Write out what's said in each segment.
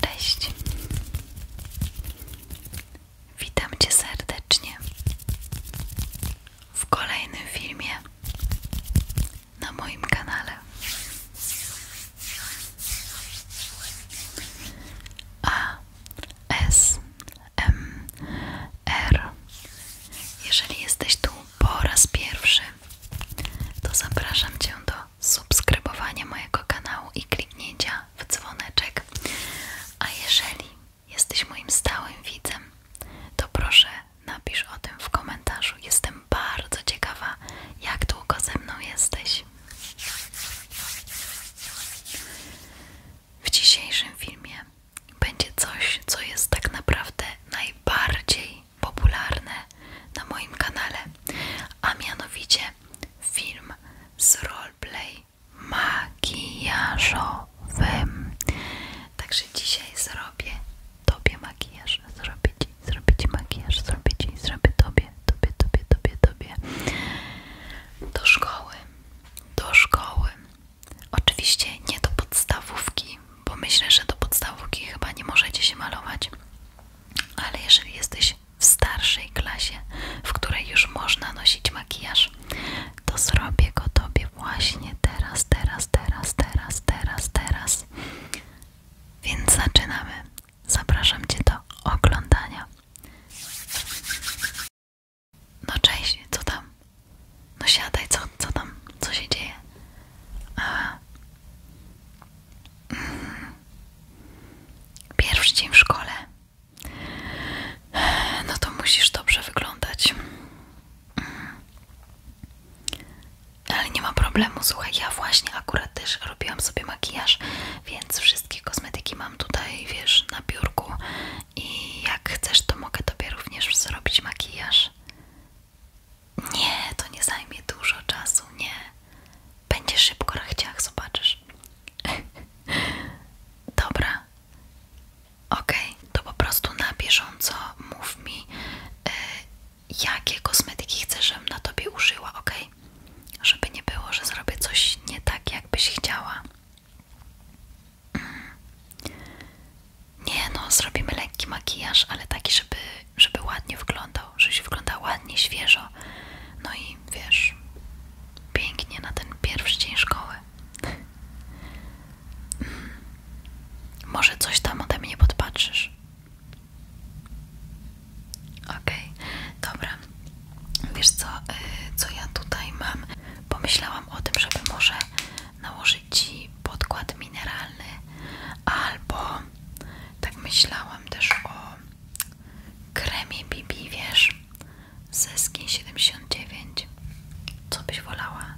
Cześć. Witam Cię serdecznie w kolejnym filmie na moim kanale. A S M R. Jeżeli jesteś tu po raz pierwszy, to zapraszam Cię do subskrybowanie mojego kanału i kliknięcia w dzwoneczek. A jeżeli jesteś moim stałym widzem, to proszę napisz o tym w komentarzu. Jestem bardzo ciekawa, jak długo ze mną jesteś. W dzisiejszym filmie będzie coś, co jest tak naprawdę najbardziej popularne na moim kanale, a mianowicie film z roleplay makijażowym. Także dzisiaj zrobię tobie makijaż, zrobię ci, zrobię ci makijaż, zrobię ci, zrobię tobie, tobie, tobie, tobie, tobie. Do szkoły, do szkoły. Oczywiście nie do podstawówki, bo myślę, że do podstawówki chyba nie możecie się malować. Ale jeżeli jesteś w starszej klasie, w której już można nosić makijaż, to zrobię go Tobie właśnie teraz, teraz, teraz, teraz, teraz, teraz. Więc zaczynamy. Zapraszam Cię do oglądania. No cześć, co tam? No siadaj, co, co tam? Co się dzieje? A... Mm, Pierwszy dzień w szkole. No to musisz dobrze wyglądać. Mm. Ale nie ma problemu, słuchaj, ja właśnie akurat też robiłam sobie makijaż, więc wszystkie kosmetyki mam tutaj, wiesz, na biurku i jak chcesz, to mogę tobie również zrobić makijaż. Nie, to nie zajmie dużo czasu, nie. Będzie szybko rachciach, zobaczysz. Dobra. Ok, to po prostu na bieżąco mów mi, y, jakie kosmetyki chcesz, żebym na tobie użyła, ok? Żeby nie było, że zrobię coś nie tak, jakbyś chciała. Mm. Nie no, zrobimy lekki makijaż, ale taki, żeby, żeby ładnie wyglądał, żebyś wyglądała ładnie, świeżo. No i wiesz, pięknie na ten pierwszy dzień szkoły. Hmm. Może coś tam ode mnie podpatrzysz. Okej, dobra. Wiesz co, y, co ja tutaj mam? Pomyślałam o tym, żeby może nałożyć Ci podkład mineralny albo tak myślałam też o kremie Bibi, wiesz? Ze skin 79. Co byś wolała?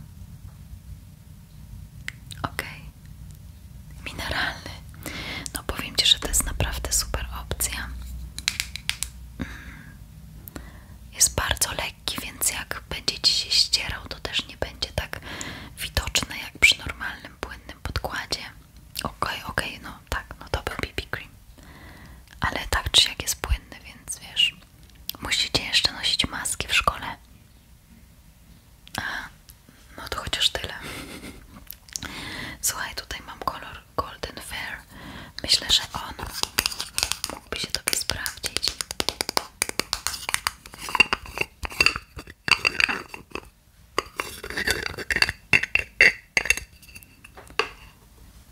Okej. Okay. Mineralny. No powiem Ci, że to jest naprawdę super opcja. Mm. Jest bardzo lekki, więc jak będzie Ci się ścierał, to też nie będzie tak widoczne jak przy normalnym płynnym podkładzie. Okej, okay, okej, no tak, no to był BB cream. Ale tak czy jak jest płynny, więc wiesz, musicie jeszcze nosić maski w szkole. Aha, no to chociaż tyle. Słuchaj, tutaj mam kolor Golden Fair. Myślę, że on mógłby się tobie sprawdzić.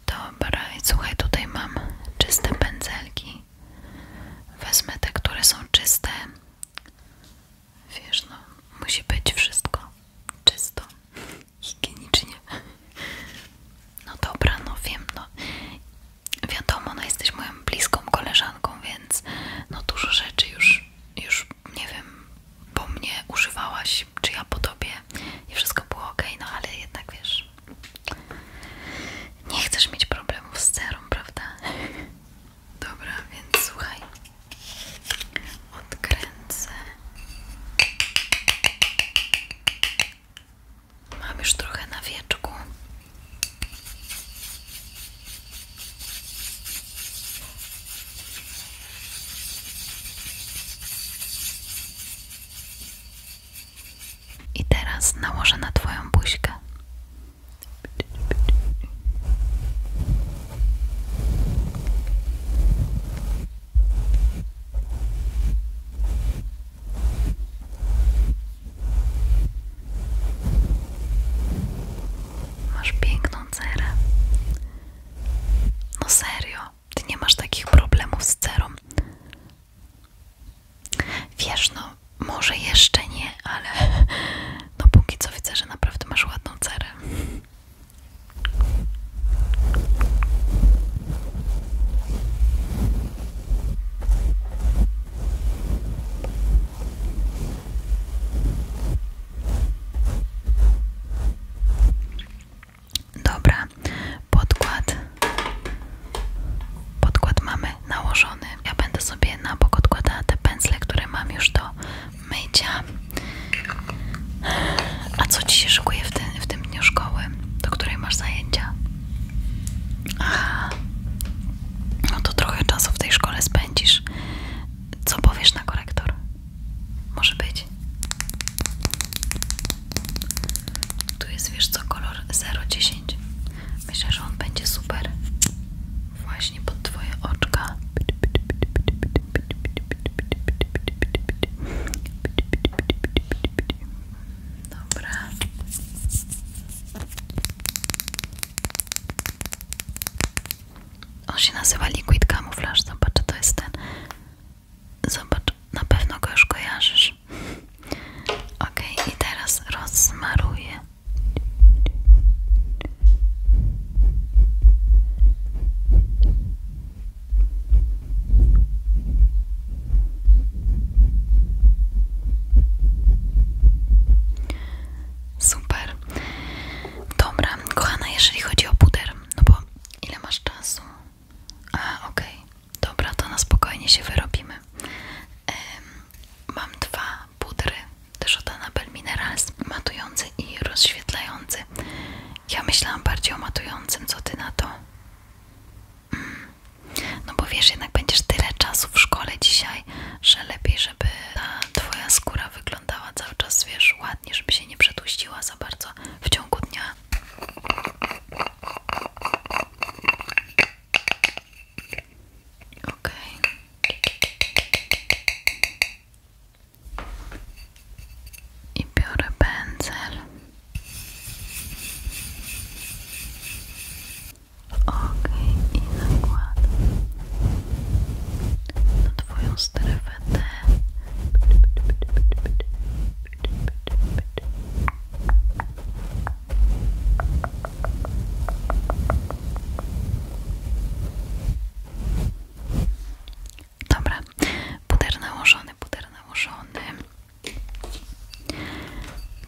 Dobra, i słuchaj, tutaj mam czyste pędzelki. Wezmę te, które są czyste. Wiesz, no, musi być wszystko czysto, higienicznie. No dobra, no wiem, no. Wiadomo, no jesteś moją bliską koleżanką, więc no dużo rzeczy już już nie wiem, po mnie używałaś, czy ja po tobie i wszystko było ok, no ale jednak wiesz, nie chcesz mieć problemów z cerą, prawda? Dobra, więc słuchaj, odkręcę. Mam już trochę na wieczku. I teraz nałożę na Twoją buźkę. Masz piękną cerę, no serio, ty nie masz takich problemów z cerą. Wiesz, no może jeszcze nie, ale no póki co widzę, że naprawdę masz ładną cerę. Dobra, podkład. Podkład mamy nałożony. Ja będę sobie na bok odkładała te pędzle, które mam już do mycia. A co ci się szykuje w tym, dniu szkoły? Do której masz zajęcia? Aha. No to trochę czasu w tej szkole spędzisz. Co powiesz na korektor? Może być. Tu jest, wiesz co, kolor 010. Myślę, że on będzie super. Właśnie pod twoje oczka. Dobra. On się nazywa Liquid Camouflage. Zobacz, to jest ten. Zobacz, na pewno go już kojarzysz. Ok, i teraz rozsmaruję. Super. Dobra, kochana, jeżeli chodzi o puder, no bo ile masz czasu? A, okej, dobra, to na spokojnie się wyrobimy. mam dwa pudry też od Annabelle Minerals, matujący i rozświetlający. Ja myślałam bardziej o matującym, co ty na to? Mm. No bo wiesz, jednak będziesz tyle czasu w szkole dzisiaj, że lepiej, żeby ta twoja skóra wyglądała cały czas, wiesz, ładnie, żeby się nie przetłuściła za bardzo w ciągu dnia. Okej. I biorę pędzel. Okej, i nakładam na twoją strefę T. Dobra, puder nałożony, puder nałożony.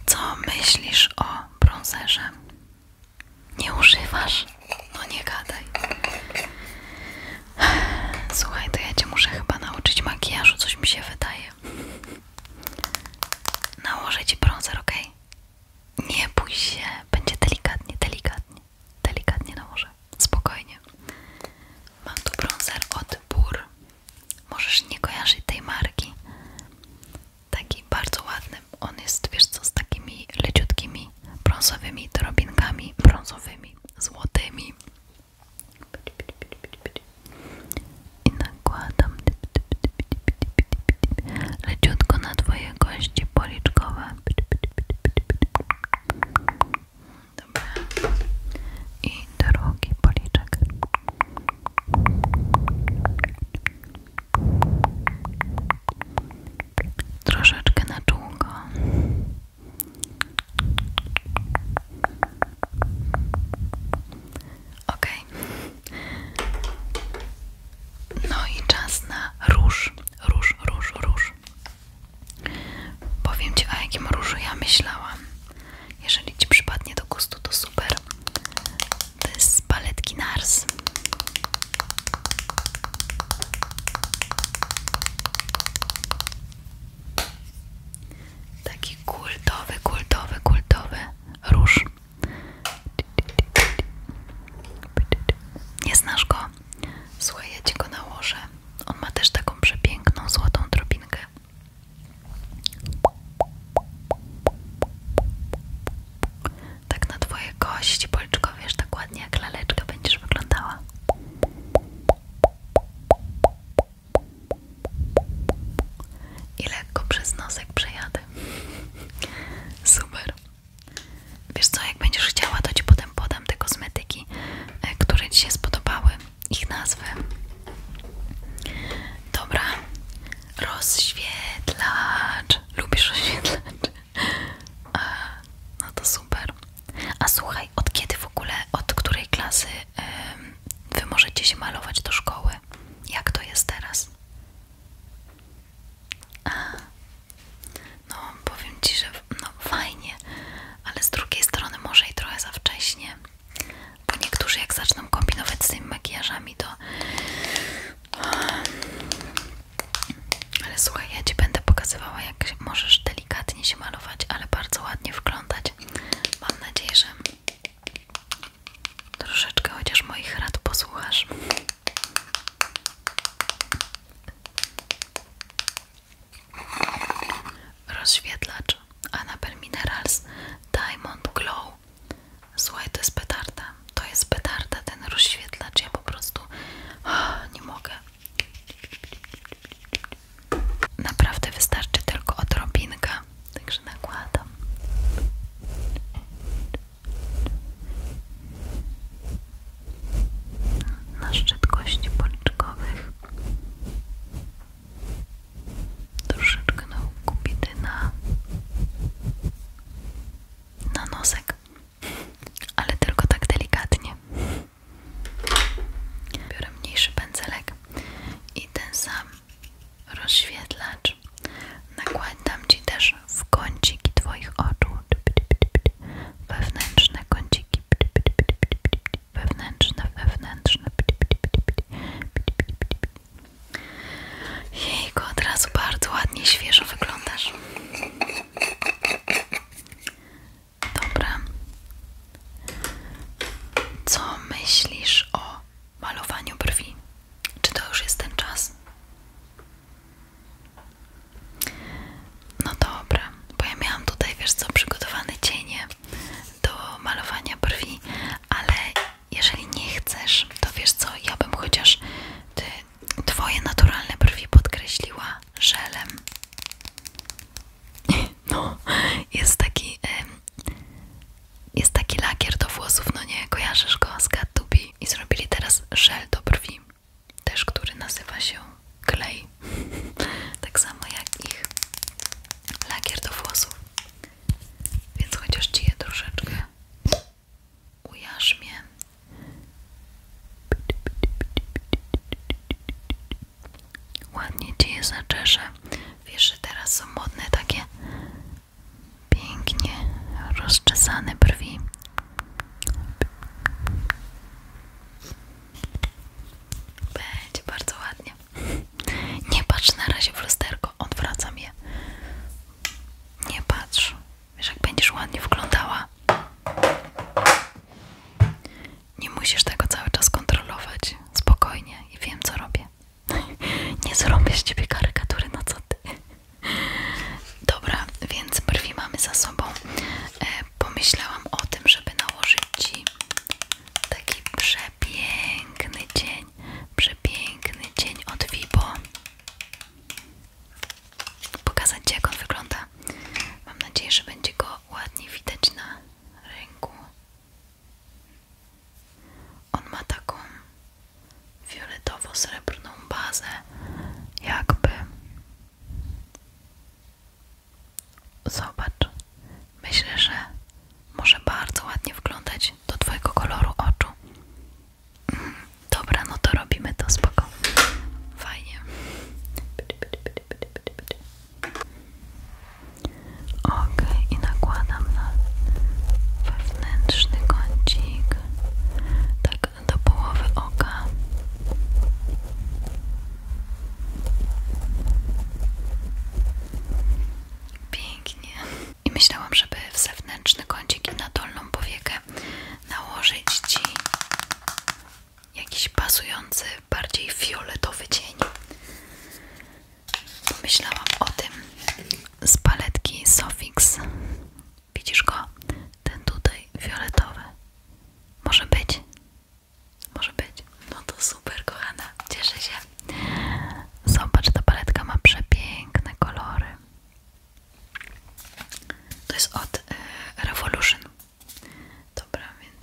Co myślisz o bronzerze? Nie używasz? No nie gadaj. Słuchaj, to ja cię muszę chyba nauczyć makijażu, coś mi się wydaje. Nałożę ci bronzer, ok? Nie bój się, będzie delikatnie, delikatnie, delikatnie nałożę. Spokojnie. Mam tu bronzer od Bur. Możesz nie kojarzyć tej marki. Taki bardzo ładny. On jest, wiesz co, z takimi leciutkimi brązowymi drobinkami brązowymi złotymi i nakładam leciutko na twoje kości policzkowe Dobra. i drugi policzek troszeczkę na czółko Ok. No i czas na róż, róż, róż, róż. Powiem Ci, o jakim różu ja myślałam. Jeżeli Ci przypadnie do gustu, to super. To jest z paletki NARS. Taki kultowy, kultowy, kultowy róż. Nie znasz go? Słuchaj, ci go nałożę. On ma też taką przepiękną, złotą drobinkę. Tak na twoje kości policzko, wiesz, tak ładnie jak laleczka będziesz wyglądała. I lekko przez nosek przejadę. Super. Wiesz co, jak będziesz chciała, to ci potem podam te kosmetyki, e, które ci się spodobały. Ich nazwy. Dobra. Rozświetlacz. Lubisz rozświetlacz? E, no to super. A słuchaj, od kiedy w ogóle, od której klasy wy możecie się malować do szkoły? Jak to jest teraz? A, no, powiem ci, że no, fajnie, ale z drugiej strony może i trochę za wcześnie. Bo niektórzy, jak zaczną kombinować z tymi makijażami, to. Ale słuchaj, ja ci będę pokazywała, jak możesz ty delikatnie się malować, ale bardzo ładnie wglądać. Mam nadzieję, że troszeczkę chociaż moich rad posłuchasz. Rozświetlacz Annabelle Minerals Diamond Glow. Słuchaj, to jest petarda. To jest petarda ten rozświetlacz. Ja po prostu oh, nie mogę. Naprawdę wystarczy tylko odrobinka, także nakładam. Na szczyt kości policzkowych. Troszeczkę na Na nosek. Ale tylko tak delikatnie. Biorę mniejszy pędzelek i ten sam rozświetlacz nakładam Ci też w kąciki Twoich oczu, wewnętrzne kąciki, wewnętrzne, wewnętrzne. Jejku, od razu bardzo ładnie, świeżo wyglądasz. Dobra. Co myślisz o malowaniu brwi? Czy to już jest ten czas? No dobra, bo ja miałam tutaj, wiesz co, przygotowane cienie do malowania brwi, ale jeżeli nie chcesz, to wiesz co, ja bym chociaż ty, twoje naturalne brwi podkreśliła żelem. No, jest taki jest taki lakier do włosów, no nie, kojarzysz go z Cat Tubi i zrobili teraz żel do brwi, też który nazywa się klej. tak samo jak ich lakier do włosów. Więc chociaż ci je troszeczkę ujarzmię. Ładnie ci je zaczeszę. Wiesz, że teraz są modne takie pięknie rozczesane brwi. Będzie bardzo ładnie. Nie patrz na razie w lusterko, odwracam je. Nie patrz. Wiesz, jak będziesz ładnie wyglądała. Nie musisz tego cały czas kontrolować. Spokojnie i wiem, co robię. Nie zrobię z ciebie karykatury, na no co ty. Dobra, więc brwi mamy za sobą. E, pomyślałam o tym, żeby nałożyć ci taki przepiękny dzień, Przepiękny dzień od Vibo. Pokazać ci, jak on wygląda. Mam nadzieję, że będzie go ładnie widać na ręku. On ma taką fioletowo-srebrną bazę, jakby. Zobacz, myślę, że może bardzo ładnie wglądać do Twojego koloru oczu. Mhm. Dobra, no to robimy to spoko. Fajnie. Ok, i nakładam na wewnętrzny kącik, tak do połowy oka. Pięknie. I myślałam, żeby w zewnętrzny kącik i na dolną powiekę nałożyć Ci jakiś pasujący bardziej fioletowy cień. myślałam o tym z paletki Sofix. Widzisz go? Ten tutaj fioletowy. Może być? Może być. No to super, kochana. Cieszę się. Zobacz, ta paletka ma przepiękne kolory. To jest od y, Revolution. Dobra, więc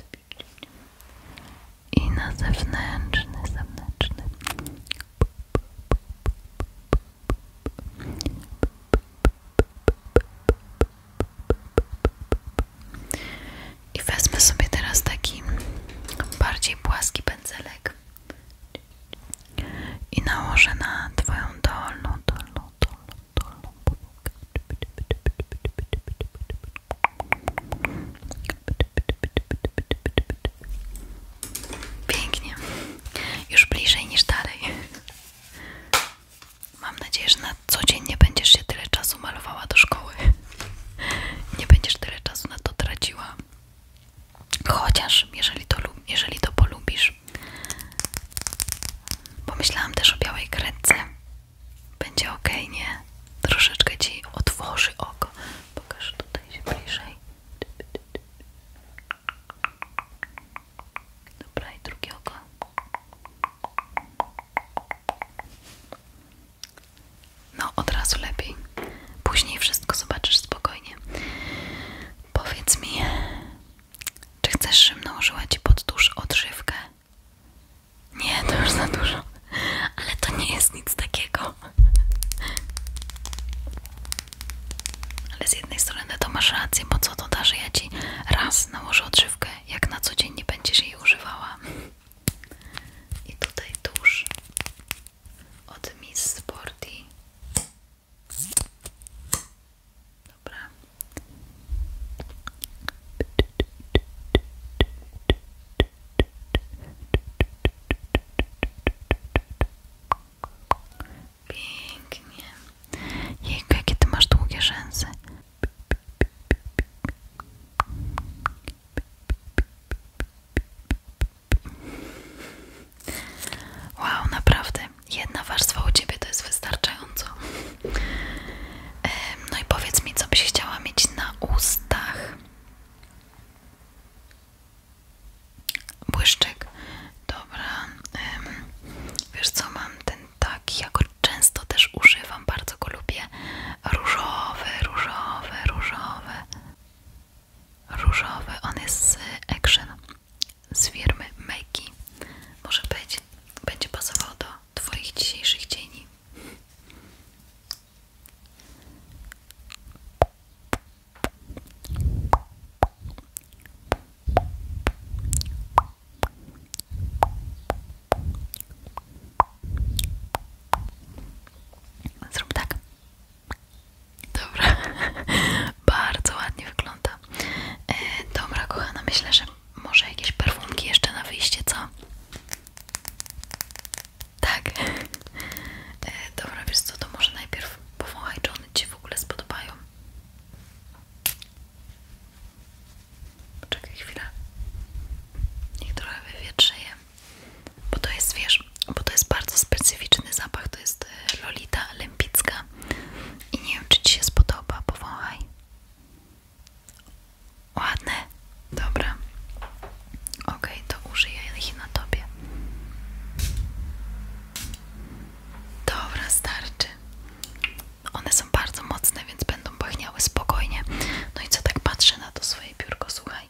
i na zewnętrzny, zewnętrzny. I wezmę sobie teraz taki bardziej płaski pędzelek i nałożę na twoją dolną, dolną, dolną, dolną powłokę. Pięknie. Już bliżej niż dalej. Mam nadzieję, że na co dzień nie będziesz się tyle czasu malowała do szkoły. Nie będziesz tyle czasu na to traciła. Chociaż, jeżeli to, jeżeli to polubisz. Pomyślałam też o białej kredce. Będzie ok, nie? Troszeczkę ci otworzy oko. Pokaż tutaj się bliżej. Dobra, i drugie oko. No, od razu lepiej. Później wszystko zobaczysz spokojnie. Powiedz mi, czy chcesz, żebym nałożyła ci pod odżywkę? Nie, to już za dużo. Ale to nie jest nic takiego. Ale z jednej strony to masz rację, bo co to da, że ja ci raz nałożę odżywkę, jak na co dzień nie będziesz jej używała. I tutaj tuż od Miss Sporty. Dobra. Pięknie. jakie ty masz długie rzęsy. Wow, naprawdę. Jedna warstwa u ciebie to jest wystarczająco. No i powiedz mi, co byś chciała mieć na ustach. błyszczek. Dobra. Wiesz co, mam ten taki, jak go często też używam, bardzo go lubię. Różowy, różowy, różowy. Różowy, on jest z Action, z firmy Makey. Może być, będzie pasował do Twoich dzisiejszych cieni. Zrób tak. Dobra, bardzo ładnie wygląda. E, dobra, kochana, myślę, może jakieś perfumki jeszcze na wyjście, co? Tak. E, dobra, wiesz to może najpierw powąchaj, czy one Ci w ogóle spodobają. Czekaj chwilę. Niech trochę wywietrzeje. Bo to jest, wiesz, bo to jest bardzo specyficzny zapach. To jest e, Lolita Lempicka. I nie wiem, czy Ci się spodoba. Powąchaj. Ładne. Dobra. ok, to użyję ich na tobie. Dobra, starczy. One są bardzo mocne, więc będą pachniały spokojnie. No i co tak patrzę na to swoje piórko, słuchaj.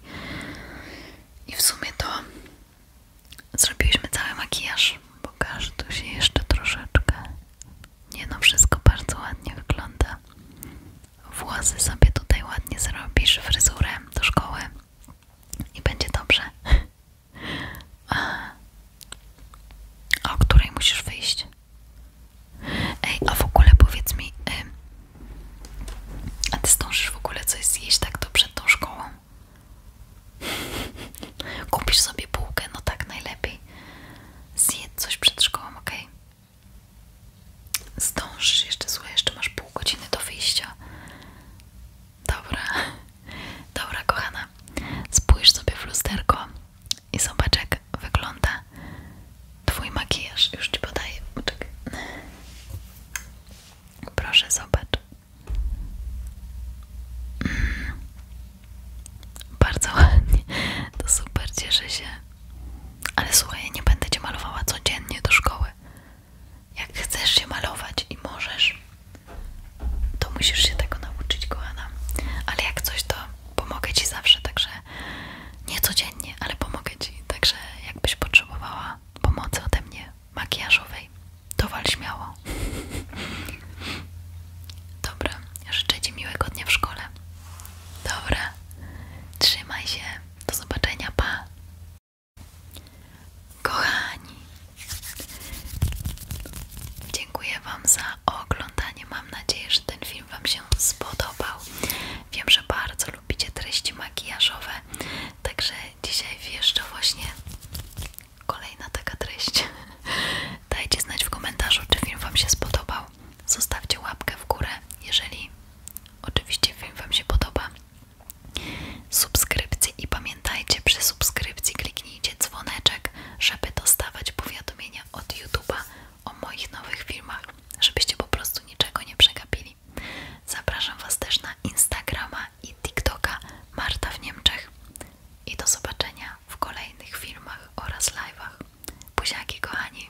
I w sumie to zrobiliśmy cały makijaż. Pokaż tu się jeszcze troszeczkę. Nie no, wszystko bardzo ładnie wygląda. Włosy sobie tutaj ładnie zrobisz, fryzurę do szkoły i będzie dobrze. A o której musisz wyjść? Ej, a w ogóle powiedz mi, a ty zdążysz w ogóle coś zjeść tak to przed tą szkołą? Kupisz sobie bułkę, no tak najlepiej. Zjedź coś przed szkołą, ok? Zdążysz jeszcze, słuchaj, jeszcze masz pół godziny do wyjścia. Dobra, dobra kochana, spójrz sobie w lusterko i zobacz jak wygląda twój makijaż. Już ci podaję, Proszę zobacz. Mm. Bardzo ładnie, to super, cieszę się. Ale słuchaj, nie będę cię malowała codziennie do szkoły. Jak chcesz się malować i możesz, to musisz się tego nauczyć, kochana. Ale jak coś, to pomogę ci zawsze, także nie codziennie, ale pomogę ci. Także jakbyś potrzebowała pomocy ode mnie makijażowej, to wal śmiało. Dobra, życzę ci miłego dnia w szkole. Dobra, trzymaj się. Do zobaczenia, pa. Kochani, dziękuję Wam za oglądanie. Mam nadzieję, że ten film Wam się spodobał. Wiem, że bardzo lubicie treści makijażowe, także dzisiaj jeszcze właśnie kolejna taka treść. Dajcie znać w komentarzu, czy film Wam się spodobał zostawcie łapkę w górę, jeżeli oczywiście film Wam się podoba. subskrypcji i pamiętajcie, przy subskrypcji kliknijcie dzwoneczek, żeby dostawać powiadomienia od YouTube'a o moich nowych filmach, żebyście po prostu niczego nie przegapili. Zapraszam Was też na Instagrama i TikToka Marta w Niemczech i do zobaczenia w kolejnych filmach oraz live'ach. Buziaki kochani,